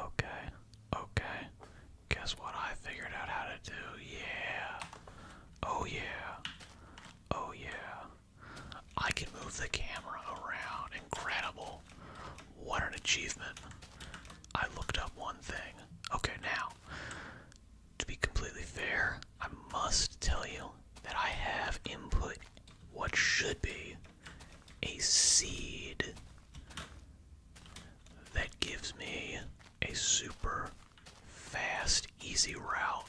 Okay, okay. Guess what I figured out how to do? Yeah. Oh, yeah. Oh, yeah. I can move the camera around. Incredible. What an achievement. I looked up one thing. Okay, now, to be completely fair, I must tell you that I have input what should be a seed that gives me a super fast, easy route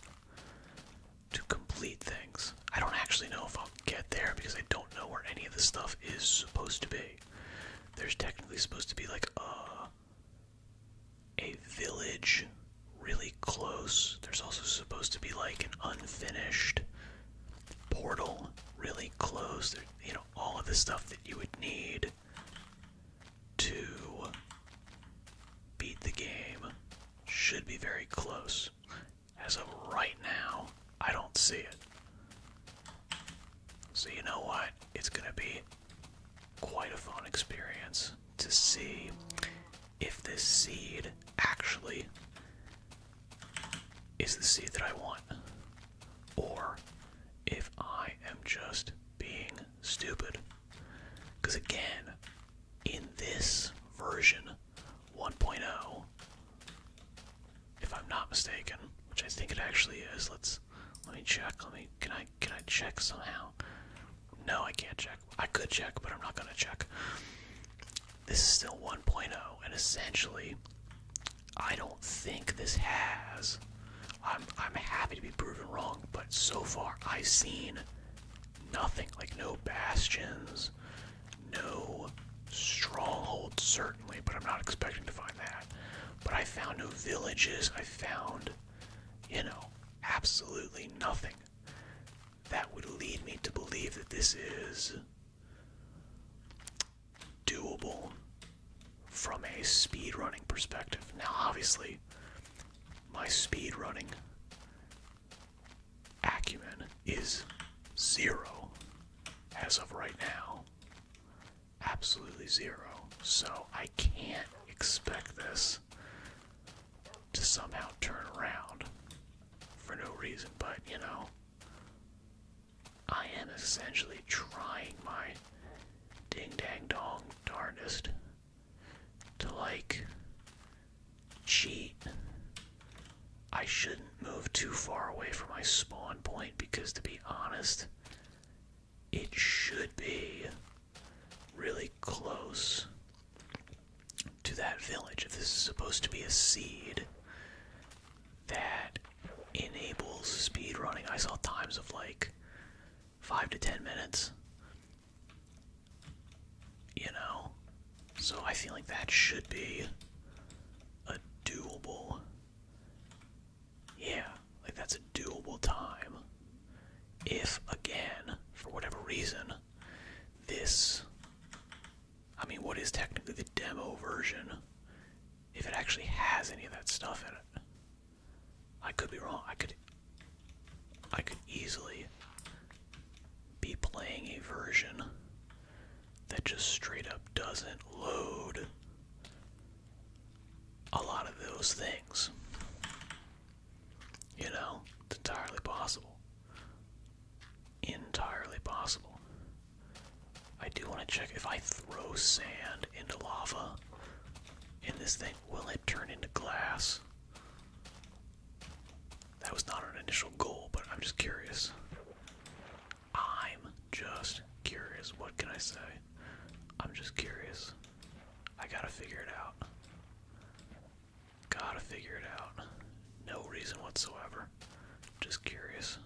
to complete things. I don't actually know if I'll get there because I don't know where any of the stuff is supposed to be. There's technically supposed to be like a a village really close. There's also supposed to be like an unfinished portal really close. you know, all of the stuff that you would need to beat the game should be very close. As of right now, I don't see it. So, you know what? It's going to be quite a fun experience to see if this seed actually is the seed that I want, or if I am just being stupid. Because again, in this version 1.0, if I'm not mistaken, which I think it actually is, let's let me check. Let me can I can I check somehow? No, I can't check. I could check, but I'm not gonna check this is still 1.0, and essentially, I don't think this has. I'm I'm happy to be proven wrong, but so far I've seen nothing. Like no bastions, no stronghold, certainly, but I'm not expecting to find that. But I found no villages. I found, you know, absolutely nothing that would lead me to believe that this is doable from a speedrunning perspective. Now, obviously, my speedrunning acumen is zero as of right now. Absolutely zero. So I can't expect this to somehow turn around for no reason, but you know, I am essentially trying my ding dang dong darndest to like cheat. I shouldn't move too far away from my spawn point because, to be honest, it should be really close to that village. If this is supposed to be a seed that enables speed running, I saw times of like five to ten minutes. You know? So I feel like that should be a doable. Yeah, like that's a doable time. If, again, for whatever reason, this I mean, what is technically the demo version? If it actually has any of that stuff in it. I could be wrong. I could I could easily be playing a version that just straight up doesn't load a lot of those things. You know, it's entirely possible entirely possible. I do want to check if I throw sand into lava and this thing, will it turn into glass? That was not an initial goal, but I'm just curious. I'm just curious. What can I say? I'm just curious. I gotta figure it out. Gotta figure it out. No reason whatsoever. Just curious.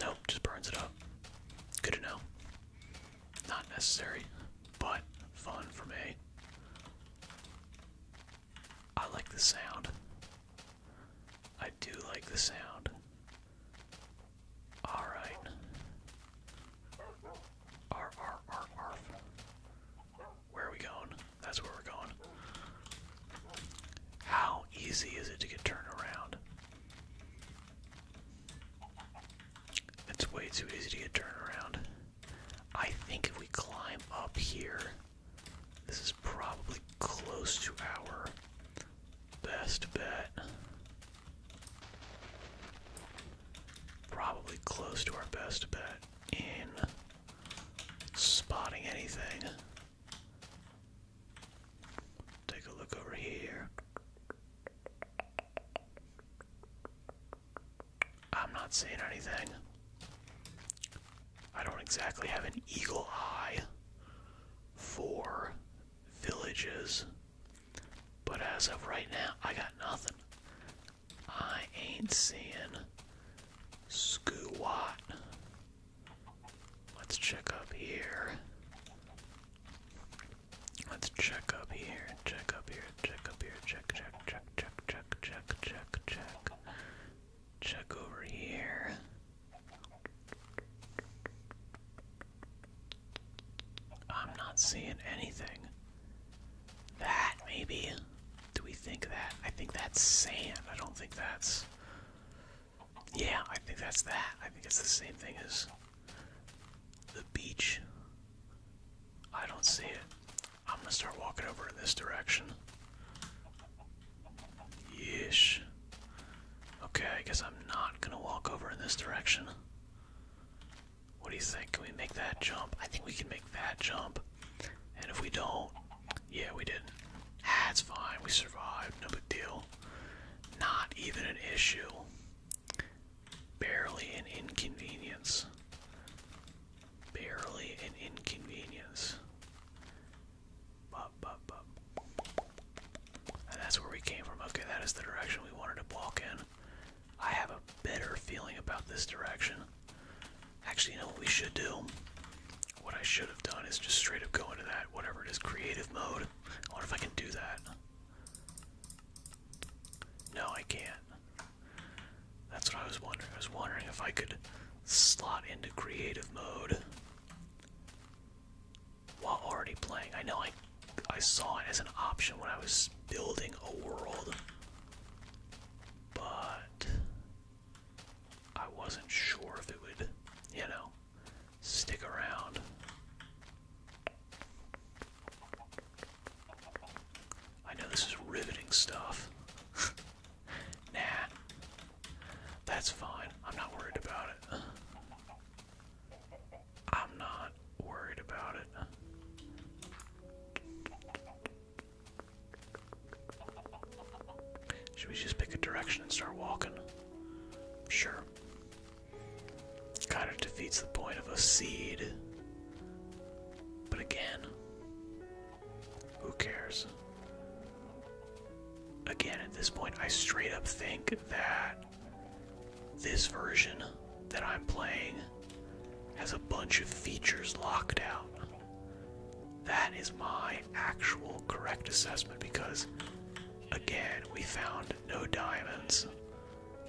Nope, just burns it up. Good to know. Not necessary, but fun for me. I like the sound. I do like the sound. Alright. Arf, arf, arf, arf. Where are we going? That's where we're going. How easy is it to get turned around? It's way too easy to get turned around. I think if we climb up here, this is probably close to our best bet. Probably close to our best bet in spotting anything. Take a look over here. I'm not seeing anything. I don't exactly have an eagle eye for villages, but as of right now, I got nothing. I ain't seeing squat. Let's check up here. Let's check up here, check up here, check up here, check, check, check, check, check, check, check, check. Check over here. I'm not seeing anything. That, maybe? Do we think that? I think that's sand. I don't think that's. Yeah, I think that's that. I think it's the same thing as the beach. I don't see it. I'm gonna start walking over in this direction. Yeesh. Okay, I guess I'm not gonna walk over in this direction. What do you think? Can we make that jump? I think we can make that jump. And if we don't, yeah, we didn't. That's fine. We survived. No big deal. Not even an issue. Barely an inconvenience. Barely an inconvenience. Bup, bup, bup. And that's where we came from. Okay, that is the direction we wanted to walk in. I have a better feeling about this direction. Actually, you know what we should do? What I should have done is just straight up go into that, whatever it is, creative mode. I wonder if I can do that. No, I can't. That's what I was wondering. I was wondering if I could slot into creative mode while already playing. I know I I saw it as an option when I was building a world but I wasn't sure if it would, you know, stick around. I know this is riveting stuff. nah. That's fine. I'm not worried about it. I'm not worried about it. Should we just pick a direction and start walking? Sure. Kind of defeats the point of a seed. But again, who cares? Again, at this point, I straight up think that this version that I'm playing has a bunch of features locked out. That is my actual correct assessment because, again, we found no diamonds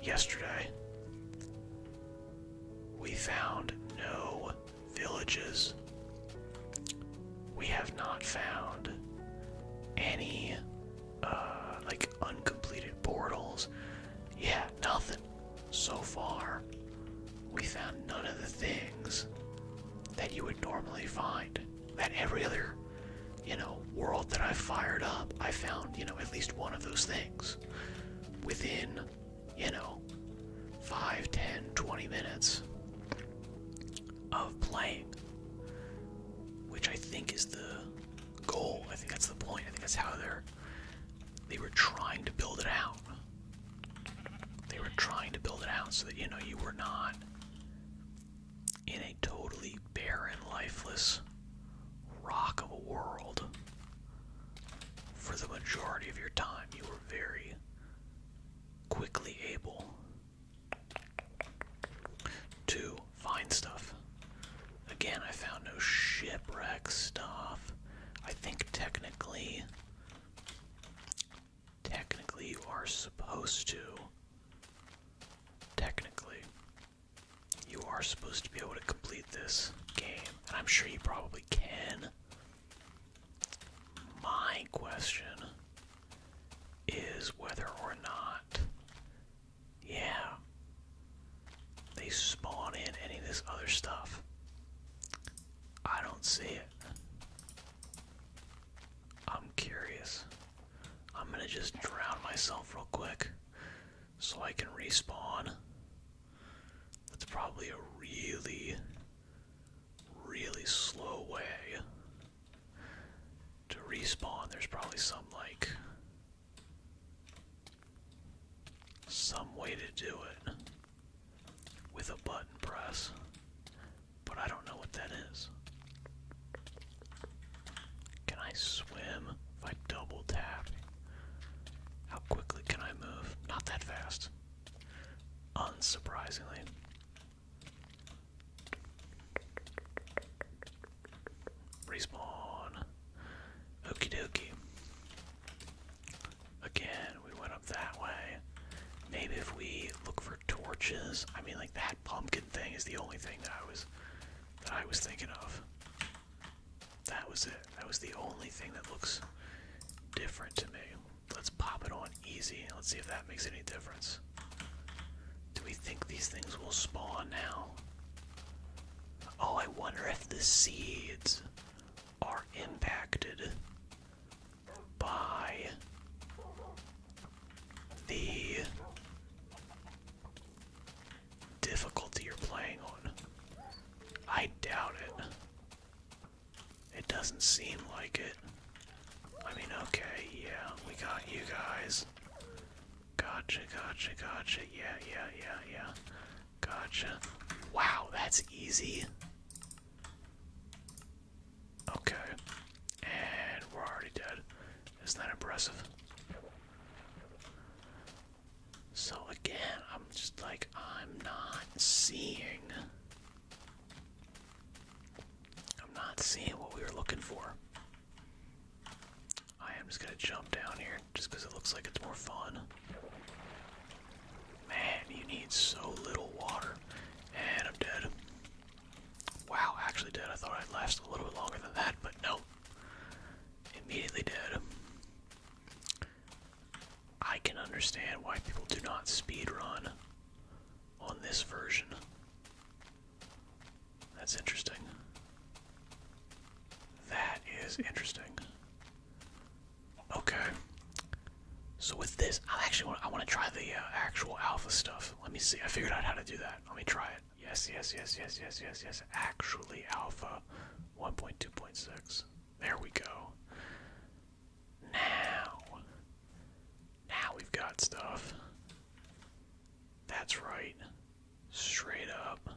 yesterday. We found no villages. We have not found any, uh, like, uncompleted portals. Yeah, nothing. So far, we found none of the things that you would normally find. That every other, you know, world that I fired up, I found, you know, at least one of those things within, you know, 5, minutes of playing. Which I think is the goal. I think that's the point. I think that's how they're they were trying to build it out. They were trying to build it out so that you know you were not in a totally barren, lifeless rock of a world for the majority of your time. You were very quickly able to find stuff. Again, I found no shipwreck stuff. I think technically, technically you are supposed to, technically, you are supposed to be able to complete this game. And I'm sure you probably can. My question is whether or not yeah. They spawn in any of this other stuff. I don't see it. I'm curious. I'm gonna just drown myself real quick so I can respawn. That's probably a really, really slow way to respawn. There's probably some like some way to do it with a button press, but I don't know what that is. Can I swim if I double tap? How quickly can I move? Not that fast. Unsurprisingly. Respawn. Okey dokey. Again, we went up that way. Maybe if we look for torches. I mean like that pumpkin thing is the only thing that I was that I was thinking of. That was it. That was the only thing that looks different to me. Let's pop it on easy. Let's see if that makes any difference. Do we think these things will spawn now? Oh, I wonder if the seeds are impacted by the difficulty you're playing on. I doubt it. It doesn't seem like it. I mean, okay, yeah, we got you guys. Gotcha, gotcha, gotcha. Yeah, yeah, yeah, yeah. Gotcha. Wow, that's easy. Okay. And we're already dead. is that impressive? So again, I'm just like, I'm not seeing. I'm not seeing what we were looking for. I am just gonna jump down here just because it looks like it's more fun. Man, you need so little water. And I'm dead. Wow, actually dead. I thought I'd last a little bit longer than that, but no. Immediately dead. I can understand why people do not speed run on this version. That's interesting. That is interesting. Okay. So with this, I actually want I want to try the uh, actual alpha stuff. Let me see. I figured out how to do that. Let me try it. Yes, yes, yes, yes, yes, yes, yes. Actually alpha 1.2.6. There we go. Now. Now we've got stuff. That's right. Straight up.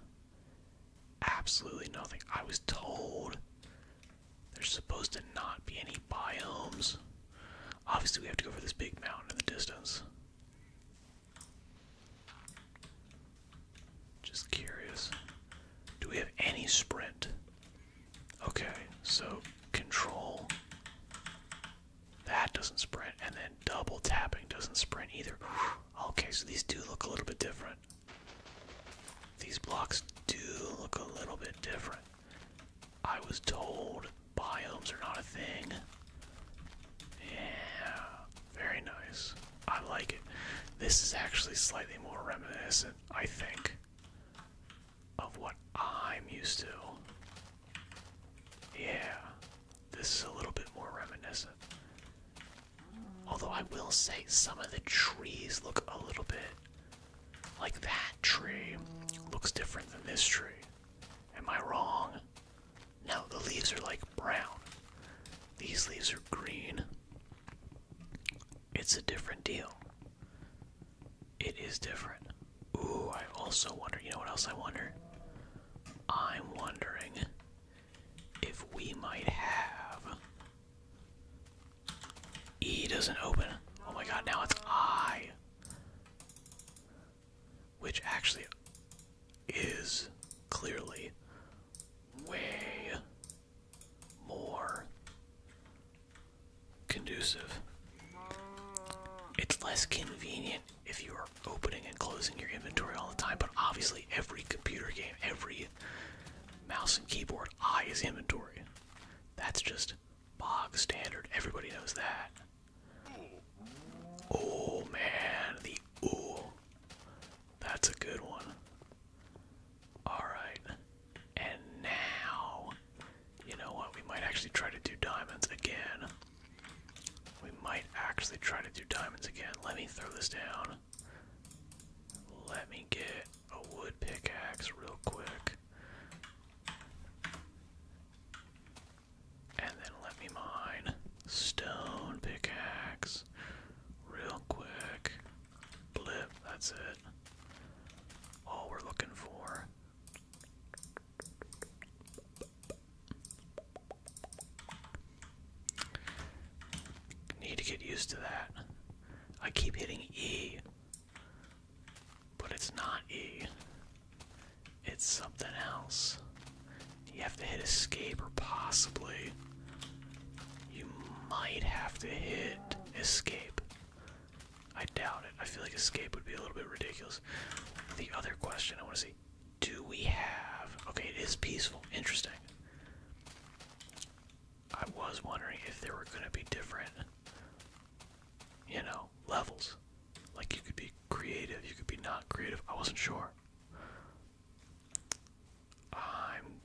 Absolutely nothing. I was told there's supposed to not be any biomes. Obviously, we have to go for this big mountain in the distance. Just curious. Do we have any sprint? Okay, so control that doesn't sprint, and then double tapping doesn't sprint either. Okay, so these do look a little bit different. These blocks do look a little bit different. I was told biomes are not a thing. Yeah, very nice. I like it. This is actually slightly more reminiscent, I think, of what I'm used to. Yeah, this is a little bit more reminiscent. Although I will say some of the trees look a little bit like that tree looks different than this tree. Am I wrong? No, the leaves are like brown. These leaves are green. It's a different deal. It is different. Ooh, I also wonder, you know what else I wonder? I'm wondering if we might have. E doesn't open. Oh my god, now it's I. Which actually is clearly way more conducive. It's less convenient if you are opening and closing your inventory all the time, but obviously every computer game, every mouse and keyboard I is inventory. That's just bog standard. Everybody knows that. Oh man, the ooh. That's a good one. Alright. And now, you know what? We might actually try to do diamonds again. We might actually try to do diamonds again. Let me throw this down. Let me get a wood pickaxe real quick. And then let me mine stone pickaxe real quick. Blip, that's it. All we're looking for. Need to get used to that. I keep hitting E, but it's not E. It's something else. You have to hit escape, or possibly you might have to hit escape. I doubt it. I feel like escape would be a little bit ridiculous. The other question I want to see. Do we have. Okay, it is peaceful. Interesting. I was wondering if there were going to be different, you know, levels. Like you could be creative, you could be not creative. I wasn't sure. I'm.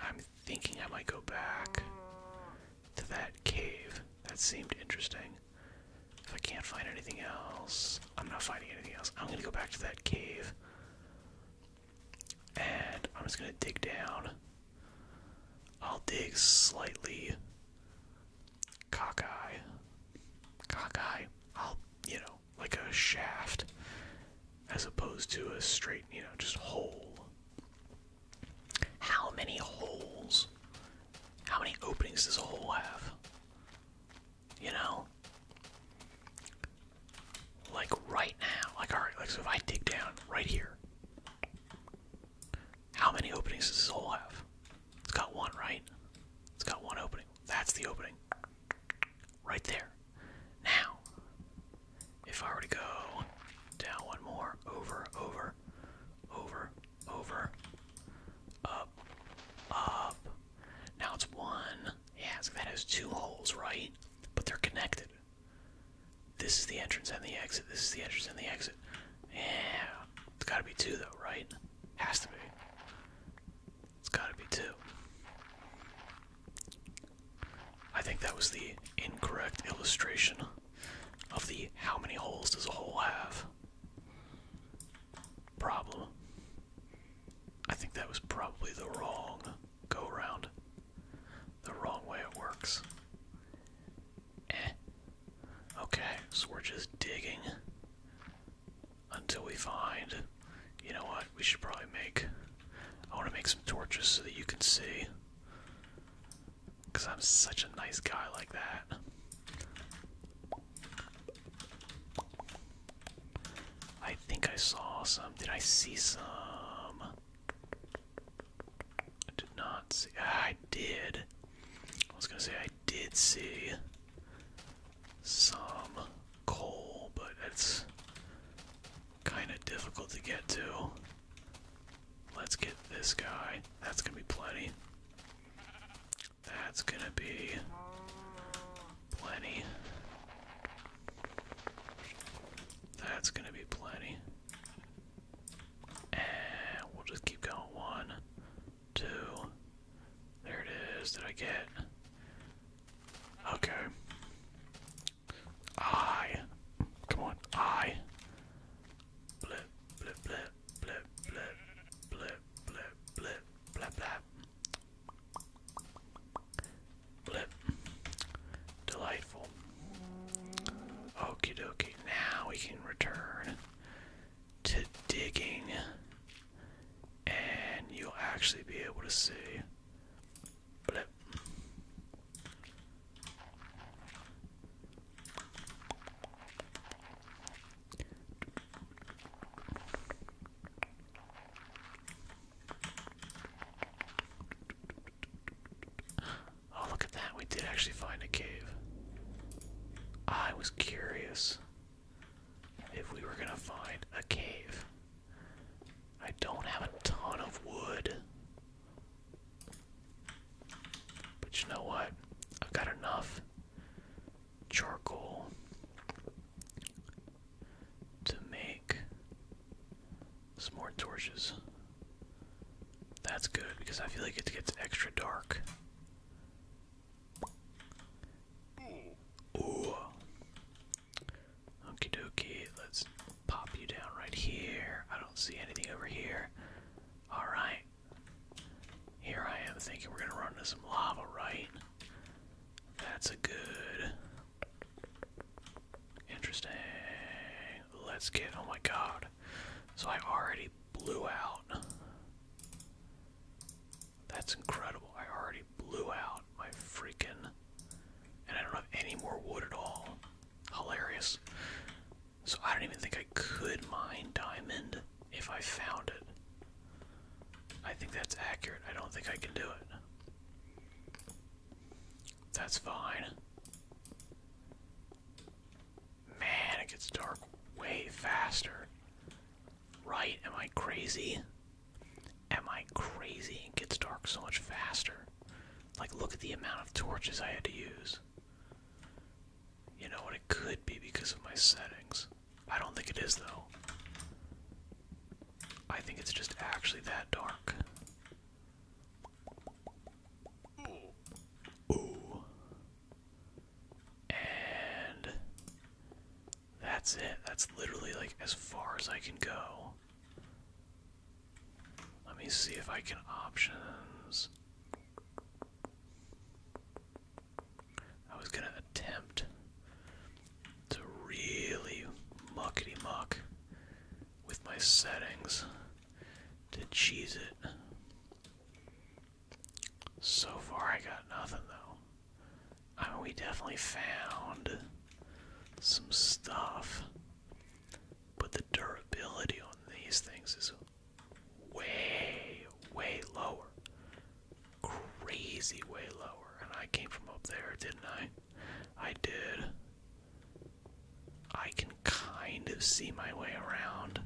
I'm thinking I might go back to that cave. That seemed interesting. If I can't find anything else, I'm not finding anything else. I'm gonna go back to that cave. And I'm just gonna dig down. I'll dig slightly cockeye. Cockeye. I'll, you know, like a shaft as opposed to a straight, you know, just hole. How many holes? How many openings does a hole have? You know? Like right now. Like alright, like if I dig down right here. How many openings does this hole have? It's got one, right? It's got one opening. That's the opening. Right there. Now, if I were to go down one more, over, over, over, over, up, up. Now it's one. Yeah, so that has two holes, right? But they're connected. This is the entrance and the exit. This is the entrance and the exit. Yeah, it's gotta be two though, right? Has to be. It's gotta be two. I think that was the incorrect illustration of the how many holes does a hole have problem. I think that was probably the wrong go round. The wrong way it works. Eh. Okay, so we're just digging until we find. You know what? We should probably make. I want to make some torches so that you can see. Because I'm such a nice guy like that. I think I saw some. Did I see some? I did not see. Ah, I did. I was gonna say I did see some coal, but it's kind of difficult to get to. Let's get this guy. That's gonna be plenty. That's gonna be plenty. That's gonna be plenty. And we'll just keep going. One, two. There it is. Did I get? Okay. I. Come on. I. Blip, blip, blip, blip, blip, blip, blip, blip, blip, blip. Blip. Delightful. Okie dokie. Now we can return to digging. And you'll actually be able to see. Blip. Oh, look at that. We did actually find a cave. I was curious if we were going to find a cave. I don't have a ton of wood. But you know what? I've got enough charcoal to make some more torches. That's good because I feel like it gets extra dark. Ooh. Okie dokie, let's Pop you down right here. I don't see anything over here. Alright. Here I am thinking we're gonna run into some lava, right? That's a good. Interesting. Let's get. Oh my god. So I already blew out. That's incredible. I already blew out my freaking. And I don't have any more wood at all. Hilarious. So I don't even think I could mine diamond if I found it. I think that's accurate. I don't think I can do it. That's fine. Man, it gets dark way faster. Right? Am I crazy? Am I crazy? It gets dark so much faster. Like, look at the amount of torches I had to use. You know what? It could be because of my settings. I don't think it is, though. I think it's just actually that dark. Ooh. And that's it. That's literally like as far as I can go. Let me see if I can options. I was gonna attempt to really muckety muck with my settings to cheese it. So far, I got nothing though. I mean, we definitely found some stuff. But the durability on these things is way, way lower. Crazy way lower. And I came from up there, didn't I? I did. I can kind of see my way around.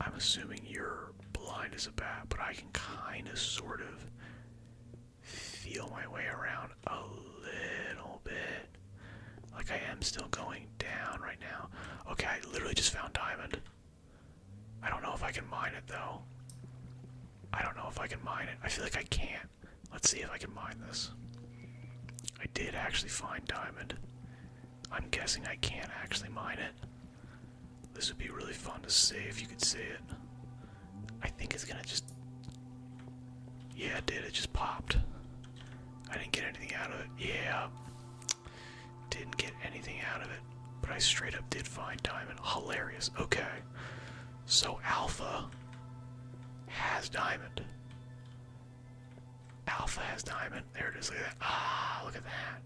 I'm assuming you're blind as a bat, but I can kind of sort of feel my way around a little bit. Like I am still going down right now. Okay, I literally just found diamond. I don't know if I can mine it though. I don't know if I can mine it. I feel like I can't. Let's see if I can mine this. I did actually find diamond. I'm guessing I can't actually mine it. This would be really fun to see if you could see it. I think it's gonna just yeah, it did. It just popped. I didn't get anything out of it. Yeah. Didn't get anything out of it. But I straight up did find diamond. Hilarious. Okay. So Alpha has diamond. Alpha has diamond. There it is. Look at that. Ah, look at that.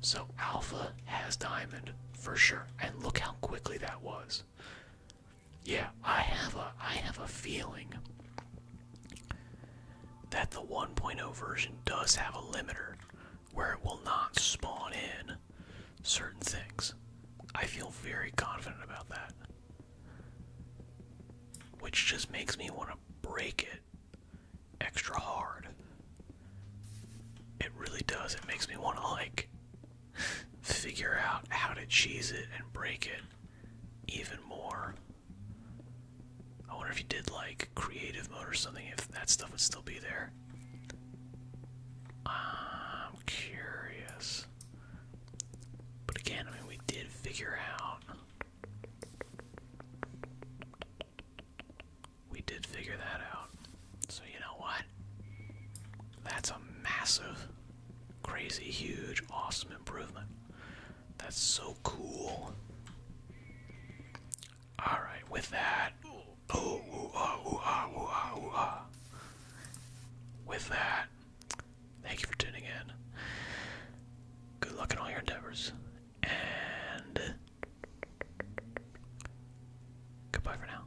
So Alpha has diamond for sure. And look how quickly that was. Yeah, I have a I have a feeling that the 1.0 version does have a limiter where it will not spawn in certain things. I feel very confident about that. Which just makes me want to break it extra hard. It really does. It makes me want to like figure out how to cheese it and break it even more. I wonder if you did like creative mode or something, if that stuff would still be there. I'm curious. But again, I mean, we did figure out. We did figure that out. So, you know what? That's a massive, crazy, huge, awesome improvement. That's so cool. Alright, with that. Ah, ah, ah, with that, thank you for tuning in. Good luck in all your endeavors. And goodbye for now.